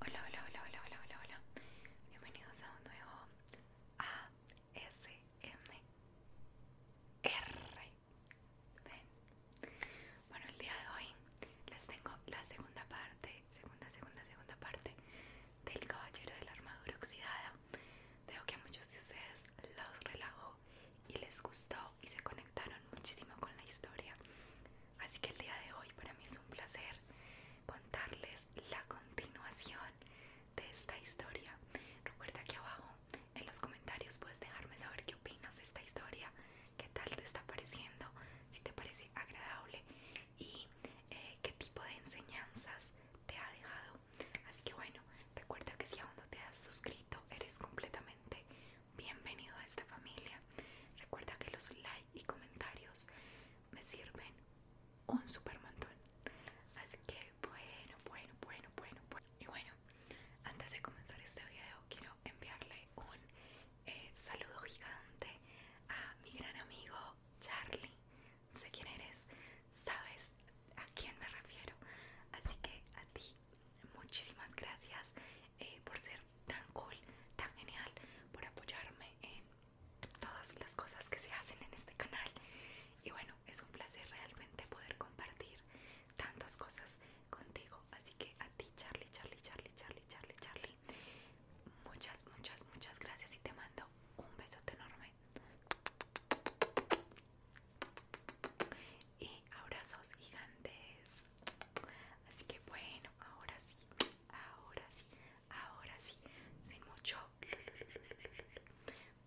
Hola, hola, hola, hola, hola, hola, hola. Bienvenidos a un nuevo ASMR. Ven. Bueno, el día de hoy les tengo la segunda parte, segunda, segunda, segunda parte del Caballero de la Armadura Oxidada. Veo que a muchos de ustedes los relajó y les gustó y se conectaron muchísimo con la historia. Así que el día de hoy para mí es un placer contarles la continuación de esta historia. Recuerda que abajo en los comentarios puedes dejarme saber qué opinas de esta historia, qué tal te está pareciendo, si te parece agradable y eh, qué tipo de enseñanzas te ha dejado. Así que bueno, recuerda que si aún no te has suscrito, eres completamente bienvenido a esta familia. Recuerda que los likes y comentarios me sirven un super montón. Así que bueno, bueno, bueno, bueno, Y bueno, antes de comenzar este video quiero enviarle un eh, saludo gigante a mi gran amigo Charlie. Sé quién eres, sabes a quién me refiero. Así que a ti, muchísimas gracias. Eh, por ser tan cool, tan genial, por apoyarme en todas las cosas que se hacen en este canal. Y bueno, es un placer realmente poder compartir tantas cosas contigo. Así que a ti, Charlie, Charlie, Charlie, Charlie, Charlie, Charlie, muchas, muchas, muchas gracias y te mando un besote enorme. Y abrazos gigantes. Así que bueno, ahora sí, ahora sí, ahora sí, sin mucho.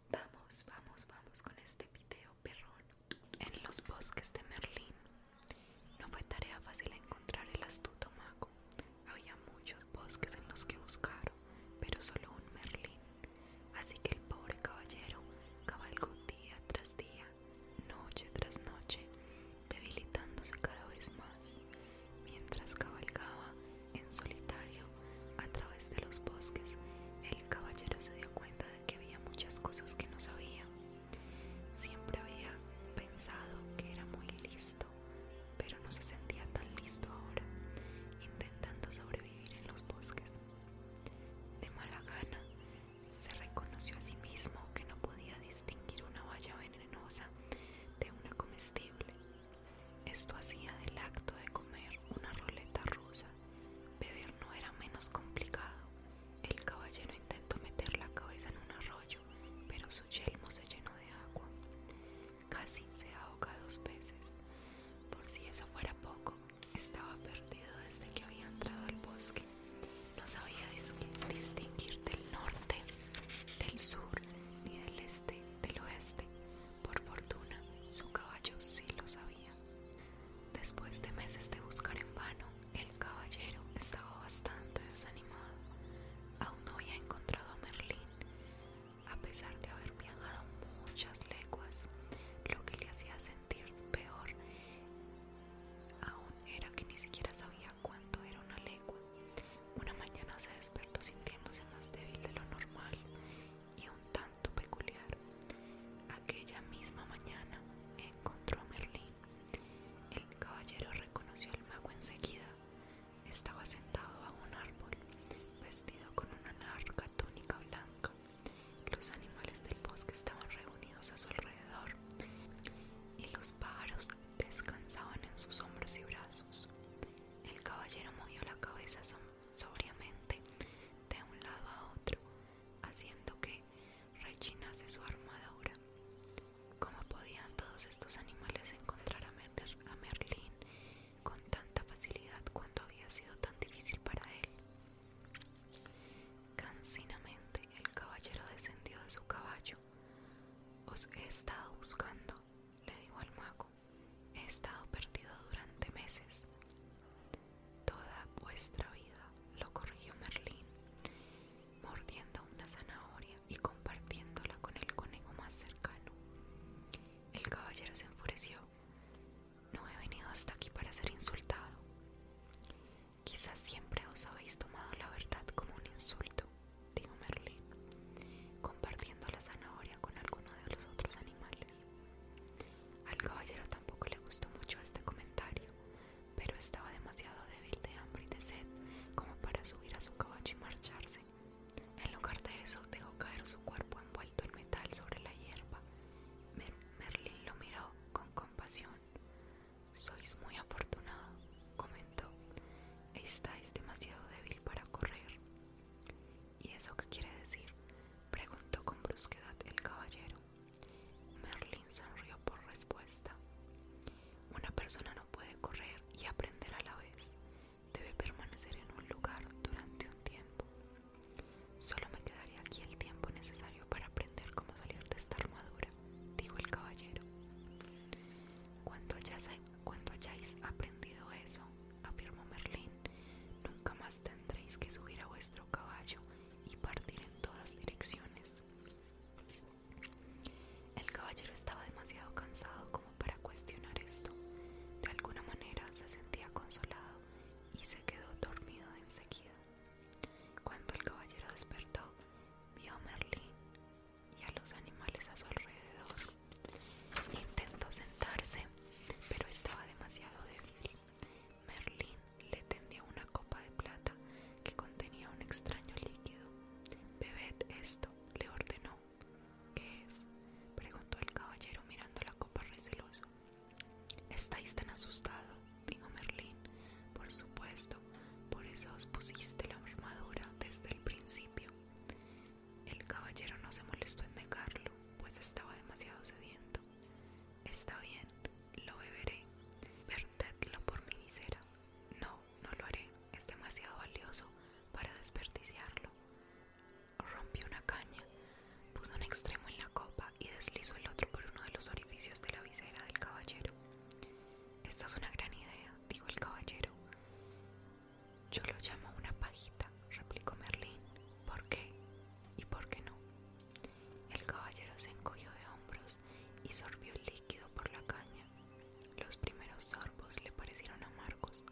Vamos, vamos, vamos con este video perrón. En los bosques de Merlín no fue tarea fácil encontrar el astuto mago. Había muchos bosques en los que buscaron, pero solo un Merlín. Así que el pobre caballero cabalgó día tras día noche tras noche, debilitándose cada vez más, mientras cabalgaba en solitario a través de los bosques, el caballero se dio cuenta de que había muchas cosas que no sabía. Siempre había pensado que era muy listo, pero no se sentía tan listo ahora, intentando sobrevivir en los bosques. De mala gana, se reconoció a sí mismo que no podía distinguir una valla venenosa de una comestible. Esto hacía del acto de comer una ruleta rusa. Beber no era menos complicado. El caballero intentó meter la cabeza en un arroyo, pero su yelmo se llenó de agua. Casi se ahoga dos veces. Por si eso fuera poco, estaba perdido desde que había entrado al bosque. No sabía distinguir del norte, del sur, ni del este, del oeste. Por fortuna, su caballo sí lo sabía. Después de meses de buscar en vano, el caballero estaba bastante desanimado. Aún no había encontrado a Merlín, a pesar de haber viajado muchas leguas, lo que le hacía sentirse peor Aún era que ni siquiera sabía cuánto era una legua. Una mañana se despertó sintiéndose más débil de lo normal y un tanto peculiar. Aquella misma mañana encontró a Merlín. El caballero reconoció al mago enseguida. Estaba sentado bajo un árbol, vestido con una larga túnica blanca los animales del bosque estaban reunidos a su alrededor y los pájaros descansaban en sus hombros y brazos. El caballero movió la cabeza sobriamente de un lado a otro, haciendo que rechinase su armadura. ¿Cómo podían todos estos animales encontrar a, a Merlín con tanta facilidad cuando había sido tan difícil para él? Cancinamente el caballero descendió de su caballo. Os he estado buscando, le dijo al mago. He estado perdido durante meses. Toda vuestra vida, lo corrigió Merlín, mordiendo una zanahoria y compartiéndola con el conejo más cercano. El caballero se enfureció no he venido hasta aquí para ser insultado. Quizás siempre os habéis tomado la verdad como un insulto, dijo Merlín, compartiendo la zanahoria con alguno de los otros animales. Al caballero tampoco le gustó mucho este comentario, pero estaba demasiado débil de hambre y de sed como para subir a su caballo y marcharse. En lugar de eso, dejó caer su cuerpo envuelto en metal sobre la hierba. Merlin Merlín lo miró con compasión. Sois muy afortunado, comentó. Estáis demasiado débil para correr. ¿Y eso qué quiere decir? preguntó con brusquedad el caballero. Merlin sonrió por respuesta. Una persona no puede correr y aprender a la vez. Debe permanecer en un lugar durante un tiempo. Solo me quedaría aquí el tiempo necesario para aprender cómo salir de esta armadura, dijo el caballero. Cuando hayáis, aprendido eso, afirmó Merlín, nunca más tendréis que subir a vuestro caballo y partir en todas direcciones. El caballero estaba demasiado cansado como para cuestionar esto. De alguna manera se sentía consolado y se quedó dormido de enseguida. Cuando el caballero despertó, vio a Merlín y a los animales a su alrededor. Intentó sentarse, pero estaba demasiado débil. Merlín le tendió una copa de plata que contenía un extraño líquido. Bebed esto, le ordenó. ¿Qué es? preguntó el caballero mirando la copa receloso. Estáis tan asustado, dijo Merlín. Por supuesto, por eso os pusiste la armadura desde el principio. El caballero no se molestó en negarlo, pues estaba demasiado sediento. Está bien, lo beberé. por mi visera. No, no lo haré. Es demasiado valioso para desperdiciarlo rompió una caña, puso un extremo en la copa y deslizó el otro por uno de los orificios de la visera del caballero. Esta es una gran idea, dijo el caballero. Yo lo llamo una pajita, replicó Merlín. ¿Por qué? ¿Y por qué no? El caballero se encogió de hombros y sorbió el líquido por la caña. Los primeros sorbos le parecieron amargos,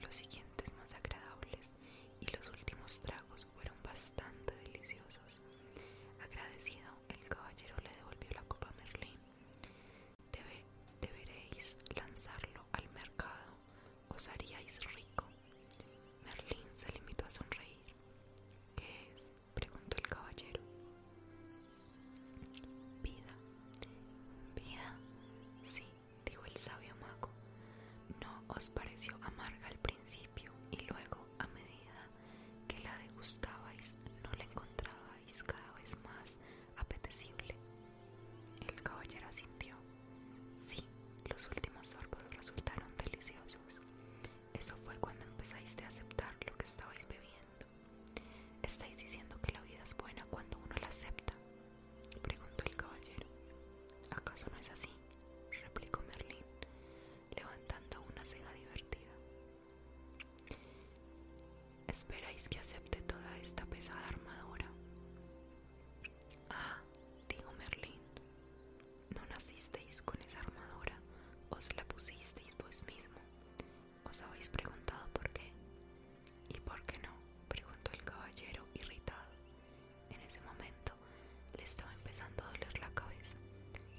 los siguientes más agradables y los últimos tragos fueron bastante deliciosos. Agradecido, el caballero le devolvió la copa a Merlín. deberéis lanzarlo al mercado, os haríais rico. Merlín se limitó a sonreír. ¿Qué es? preguntó el caballero. Vida. Vida. Sí, dijo el sabio mago, no os pareció amarga al principio y luego a medida que la degustabais no la encontrabais cada vez más apetecible. El caballero asintió. Sí, los últimos sorbos resultaron deliciosos. Eso fue cuando empezáis a aceptar lo que estabais bebiendo. Estáis diciendo que la vida es buena cuando uno la acepta, preguntó el caballero. ¿Acaso no es así? replicó Merlín, levantando una ceja divertida. ¿Esperáis que acepte toda esta pesada armadura? Ah, dijo Merlín, no nacisteis con esa armadura, os la pusisteis vos mismo. ¿Os habéis preguntado por qué? ¿Y por qué no? preguntó el caballero irritado. En ese momento le estaba empezando a doler la cabeza.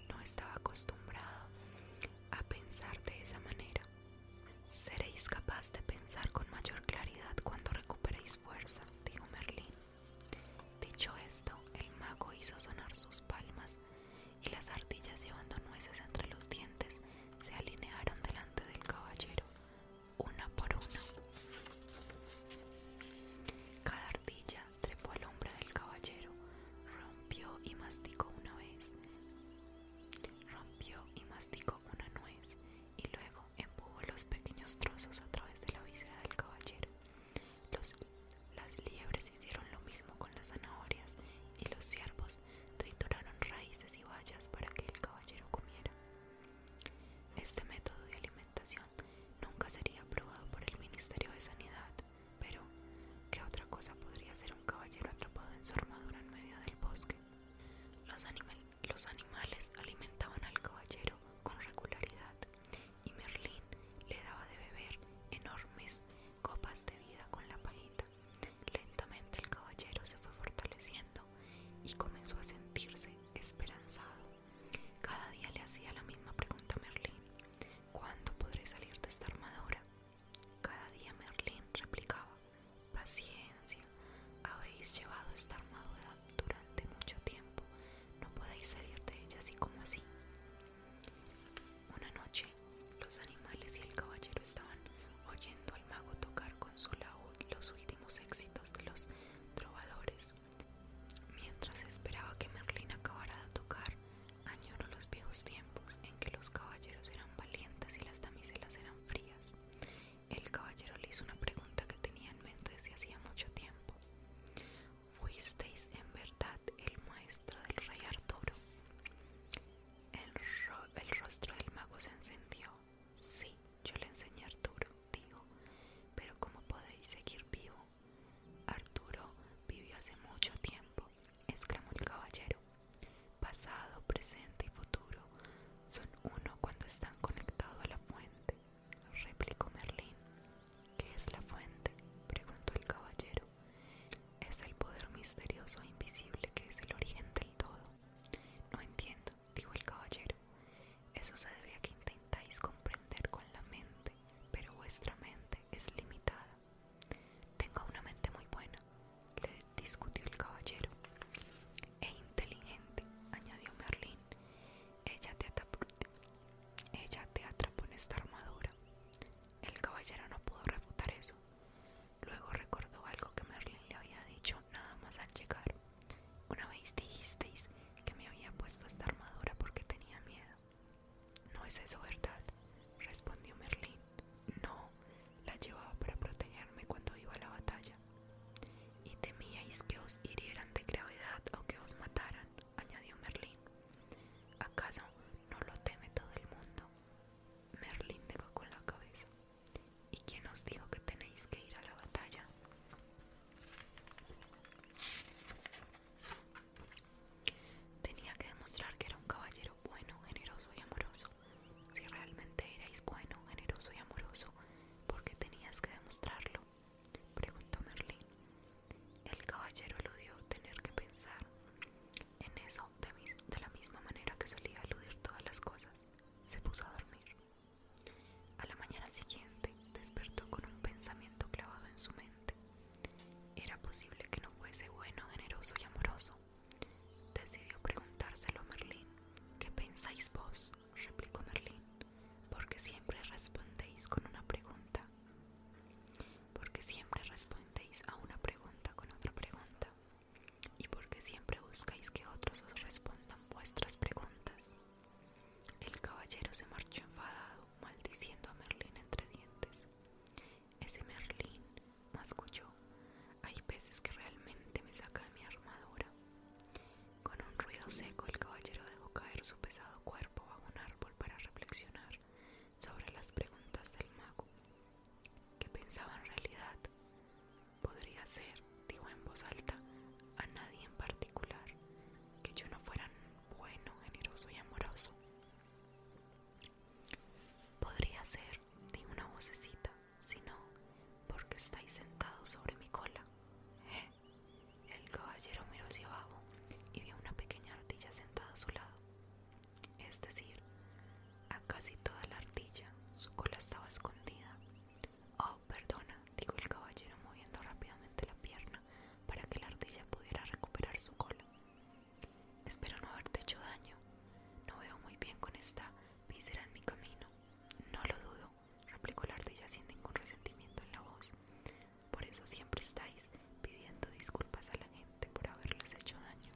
No estaba acostumbrado a pensar de esa manera. Seréis capaz de pensar con mayor claridad cuando recuperéis fuerza, dijo Merlín. Dicho esto, el mago hizo sonar sus palmas y las ardillas llevando nueces entre los dientes se alinearon delante del caballero. Una por una Cada ardilla trepó al hombro del caballero, rompió y masticó una vez, rompió y masticó una nuez y luego empujó los pequeños trozos a través de la visera del caballero. las liebres hicieron lo mismo con las zanahorias y los ciervos trituraron raíces y vallas para que el caballero comiera. Este método de alimentación nunca sería aprobado por el Ministerio de Sanidad, pero ¿qué otra cosa podría ser un caballero atrapado en su armadura en medio del bosque? Los, animales alimentaban al caballero con regularidad y Merlín le daba de beber enormes copas de vida con la pajita. Lentamente el caballero se fue fortaleciendo y comenzó a sentirse esperanzado. Cada día le hacía la misma pregunta a Merlín, ¿cuándo podré salir de esta armadura? Cada día Merlín replicaba, paciencia, habéis llevado esta armadura durante mucho tiempo, no podéis salir de ella así como así. Una noche, los animales y el caballero estaban oyendo el mago tocar con su laúd los últimos éxitos de los trovadores. Mientras esperaba que Merlín acabara de tocar, añoró los viejos tiempos en que los caballeros eran valientes y las damiselas eran frías. El caballero le hizo una pregunta que tenía en mente desde hacía mucho tiempo. ¿Fuisteis en verdad el maestro del rey Arturo? el rostro del mago se encendió Sí, yo le enseñé a Arturo, digo Pero ¿cómo podéis seguir vivo? Arturo vivió hace mucho tiempo, exclamó el caballero. Pasado, presente y futuro son uno cuando están conectados a la fuente, replicó Merlín. ¿Qué es la fuente? preguntó el caballero. Es el poder misterioso e invisible que es el origen del todo, no entiendo, dijo el caballero. Eso se debe a que intentáis comprender con la mente, pero vuestra mente es limitada. Tengo una mente muy buena, le discutió el caballero. E inteligente, añadió Merlin, Ella te atrapó, ella te atrapó en esta armadura. El caballero no pudo refutar eso. Luego recordó algo que Merlin le había dicho nada más al llegar. Una vez dijisteis que me había puesto esta armadura porque tenía miedo. No es eso verdad, respondió Merlín. No, la llevaba para protegerme cuando iba a la batalla. Y temíais que os hirieran de gravedad o que os mataran, añadió Merlín. ¿Acaso no lo teme todo el mundo? Merlín negó con la cabeza. ¿Y quién os dijo que tenéis que ir a la batalla? Tenía que demostrar que era un caballero bueno, generoso y amoroso. Si realmente erais bueno, generoso y amoroso, ¿por qué tenías que demostrarlo? Preguntó Merlín. El caballero eludió tener que pensar. En eso, de, la misma manera que solía aludir todas las cosas, se puso a dormir. A la mañana siguiente despertó con un pensamiento clavado en su mente. Era posible que no fuese bueno, generoso y amoroso. Decidió preguntárselo a Merlín. ¿Qué pensáis vos? replicó Merlín. Porque siempre respondéis con una pregunta. Porque siempre respondéis a una pregunta con otra pregunta y porque siempre buscáis que otros os respondan vuestras preguntas. El caballero se marchó enfadado, maldiciendo a Merlín entre dientes. Ese Merlín, masculló, hay peces que realmente me saca de mi armadura. Con un ruido seco el caballero dejó caer su pesado cuerpo bajo un árbol para reflexionar sobre las preguntas del mago. que pensaba en realidad? Podría ser, dijo en voz alta, a nadie en particular, que yo no fuera bueno, generoso y amoroso. Podría ser, dijo una vocecita, si no, porque estáis sentados sobre mi cola. El caballero miró hacia abajo y vio una pequeña ardilla sentada a su lado es decir, a casi toda la ardilla. Su cola estaba escondida. Oh, perdona, dijo el caballero moviendo rápidamente la pierna para que la ardilla pudiera recuperar su cola. Espero no haberte hecho daño. No veo muy bien con esta visera en mi camino. No lo dudo, replicó la ardilla sin ningún resentimiento en la voz. Por eso siempre estáis pidiendo disculpas a la gente por haberles hecho daño.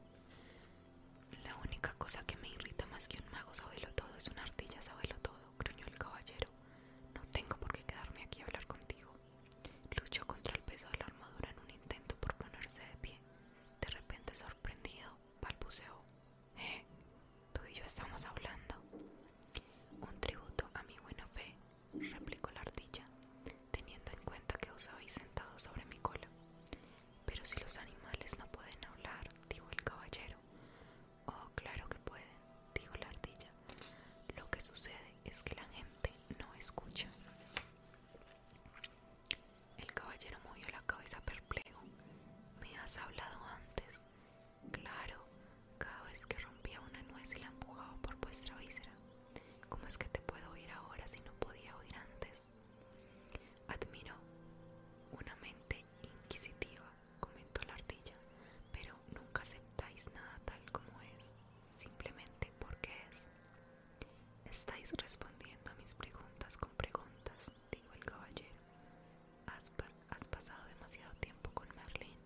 La única cosa que me irrita más que un mago sabelo todo es una ardilla sabelo todo, gruñó el caballero. No tengo por qué quedarme aquí a hablar contigo. Luchó contra el peso de la armadura en un intento por ponerse de pie. De repente, sorprendido, balbuceó. Eh, tú y yo estamos hablando. Un tributo a mi buena fe, replicó la ardilla teniendo en cuenta que os habéis sentado sobre mi cola. Pero si los animales no pueden hablar, dijo el caballero. Oh, claro que pueden, dijo la ardilla. Lo que sucede es que la gente no escucha. El caballero movió la cabeza perplejo. ¿Me has hablado antes? Claro, cada vez que rompía una nuez y la empujaba por vuestra visera ¿Cómo es que te puedo oír ahora si no podía oír antes? Admiro una mente inquisitiva, comentó la ardilla, pero nunca aceptáis nada tal como es, simplemente porque es. Estáis respondiendo a mis preguntas con preguntas, dijo el caballero. Has, pasado demasiado tiempo con Merlín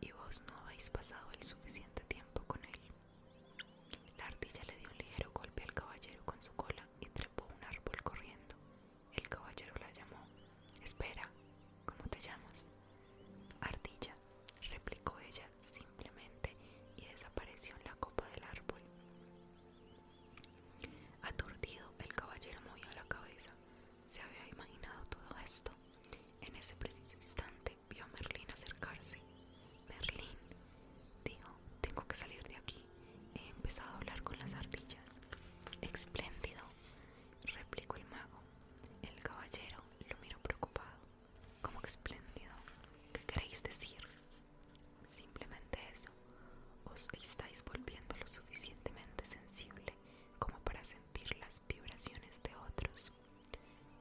y vos no habéis pasado el suficiente tiempo con él. La ardilla le dio un ligero golpe al caballero con su cola y trepó un árbol corriendo. El caballero la llamó. Espera, ¿cómo te llamas? Ardilla, replicó ella simplemente y desapareció en la copa del árbol. Aturdido, el caballero movió la cabeza. Se había imaginado todo esto. En ese preciso instante, vio a Merlín acercarse. Merlín, dijo, tengo que salir de aquí. He empezado a hablar con las ardillas. Espléndido, replicó el mago. El caballero lo miró preocupado. ¿Cómo que espléndido? ¿Qué queréis decir? Simplemente eso. Os estáis volviendo lo suficientemente sensible como para sentir las vibraciones de otros.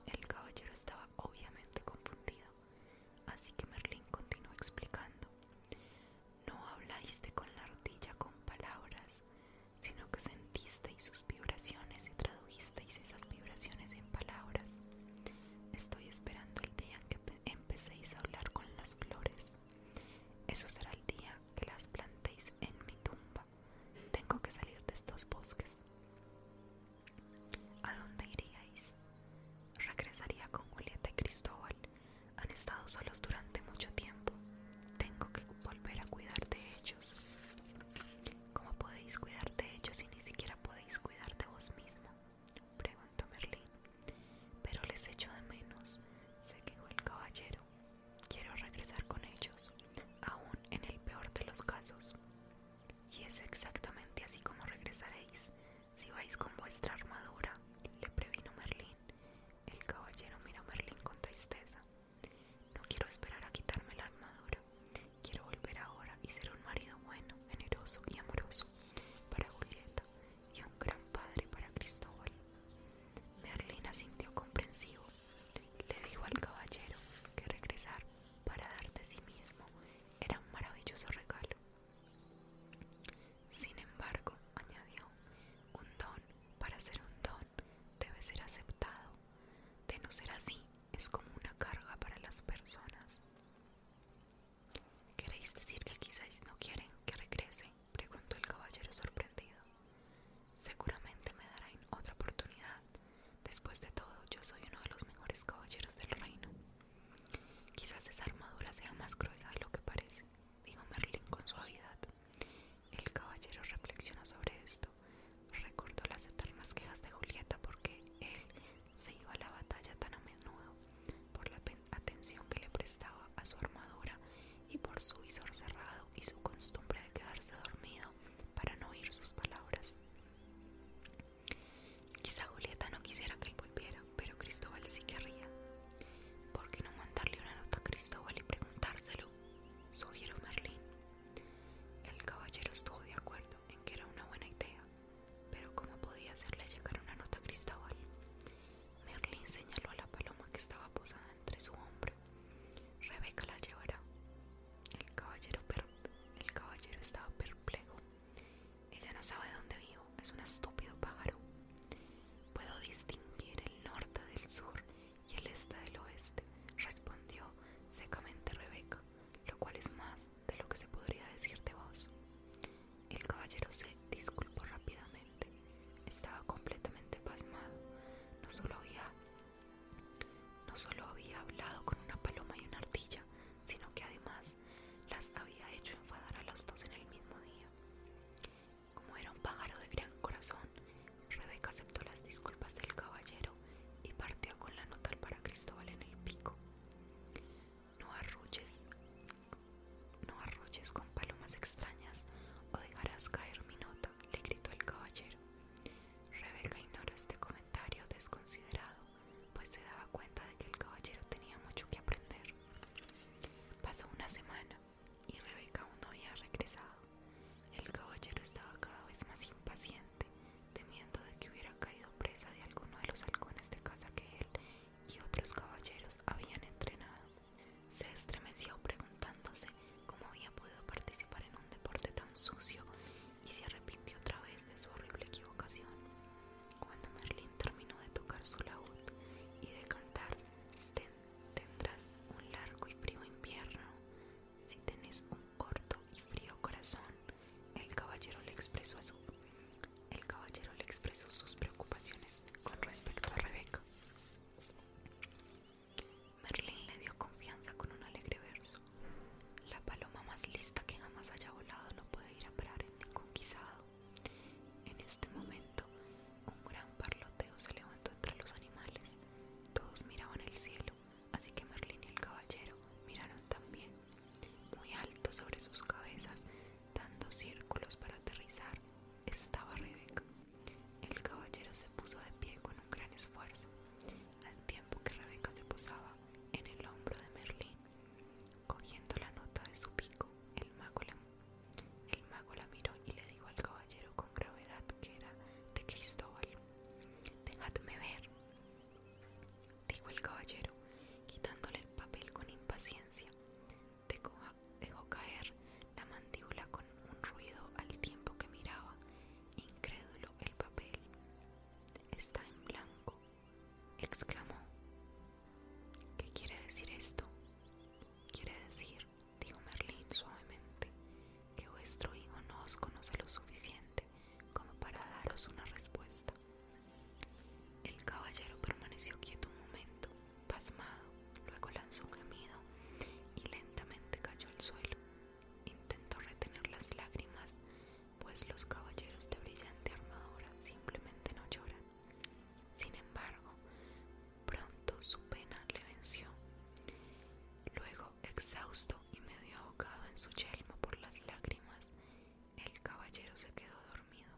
El caballero estaba obviamente confundido, así que Merlín continuó explicando. No hablaste con la rodilla con palabras, sino que sentisteis sus vibraciones y tradujisteis esas vibraciones en palabras. Estoy esperando el día en que empecéis a hablar con las flores. Eso será el día que las plantéis en mi tumba. Tengo que salir de estos bosques. ¿A dónde iríais? Regresaría con Julieta y Cristóbal. Han estado solos durante mucho tiempo. Tengo que volver a cuidar de ellos. ¿Cómo podéis cuidar de ellos si ni siquiera podéis cuidar de vos mismo? Preguntó Merlín. Pero les echo de menos. Se quejó el caballero. Quiero regresar con ellos, aún en el peor de los casos. Y es exactamente así como regresaréis, si vais con vuestra armadura, le previno Merlín. El caballero miró a Merlín con tristeza. No quiero esperar a quitarme la armadura. Quiero volver ahora y ser un marido bueno, generoso y amoroso para Julieta y un gran padre para Cristóbal. Merlín asintió comprensivo le dijo al caballero que regresar para darte a sí mismo era un maravilloso regalo. Sin embargo, añadió, un don para ser un don debe ser aceptado. De no ser así, es como una carga para las personas. ¿Queréis decir que quizás no quieren que regrese? preguntó el caballero sorprendido. Seguramente me darán otra oportunidad. Después de todo, yo soy uno de los mejores caballeros del reino. Quizás esa armadura sea más gruesa de lo que parece, dijo Merlín con suavidad. El caballero reflexionó sobre esto, recordó las eternas quejas de Julieta porque él se iba a la batalla tan a menudo por la atención que le prestaba a su armadura y por su visor cerrado y su costumbre de quedarse dormido para no oír sus palabras. Quizá Julieta no quisiera que él volviera, pero Cristóbal sí querría. ¿Por qué no mandarle una nota a Cristóbal y preguntárselo? Sugirió Merlín. El caballero estuvo de acuerdo en que era una buena idea, pero ¿cómo podía hacerle llegar una nota a Cristóbal? Merlín señaló a la paloma que estaba posada entre su hombro Rebeca la llevará. El caballero, el caballero estaba perplejo. Ella no sabe dónde vivo, es un estúpido pájaro. Puedo distinguir el norte del sur y el este del oeste, respondió secamente Rebeca, lo cual es más de lo que se podría decirte vos. El caballero se disculpó rápidamente. Estaba completamente pasmado. No solo había, no solo había hablado con una paloma y una ardilla, sino que además las había hecho enfadar a los dos en el mismo día. Como era un pájaro de gran corazón, Rebeca aceptó las disculpas del caballero y partió con la nota para Cristóbal en el pico. No arruches no arruches con palomas extrañas o dejarás caer mi nota le gritó el caballero. Rebeca ignoró este comentario desconsiderado, pues se daba cuenta de que el caballero tenía mucho que aprender. Pasó una semana y Rebeca aún no había regresado. El caballero estaba cada vez más impaciente, temiendo de que hubiera caído presa de alguno de los halcones de casa que él y otros caballeros habían entrenado. Se estremeció preguntándose cómo había podido participar en un deporte tan sucio y se arrepintió otra vez de su horrible equivocación. Cuando Merlín terminó de tocar su laúd y de cantar, tendrás un largo y frío invierno. Si tienes un corto y frío corazón, el caballero le expresó el caballero le expresó sus preocupaciones con respecto a Rebeca. Merlín le dio confianza con un alegre verso. La paloma más lista que jamás haya volado no puede ir a parar en ningún guisado. En este momento, un gran parloteo se levantó entre los animales. Todos miraban el cielo, así que Merlín y el caballero miraron también, muy alto sobre sus cabezas, dando círculos para aterrizar. Estaba Rebeca. El caballero se puso de pie con un gran esfuerzo, al tiempo que Rebeca se posaba en el hombro de Merlín. Cogiendo la nota de su pico, el mago, la, el mago miró y le dijo al caballero con gravedad que era de Cristóbal. Dejadme ver, dijo el caballero, quitándole el papel con impaciencia dejó caer la mandíbula con un ruido al tiempo que miraba, incrédulo, el papel. Está en blanco, exclamó. ¿Qué quiere decir esto? Quiere decir, dijo Merlín suavemente, que vuestro hijo no os conoce lo suficiente como para daros una respuesta. El caballero permaneció quieto un momento Pasmado, luego lanzó un gemido y lentamente cayó al suelo. Intentó retener las lágrimas, pues los caballeros de brillante armadura simplemente no lloran. Sin embargo, pronto su pena le venció. Luego, exhausto y medio ahogado en su yelmo por las lágrimas, el caballero se quedó dormido.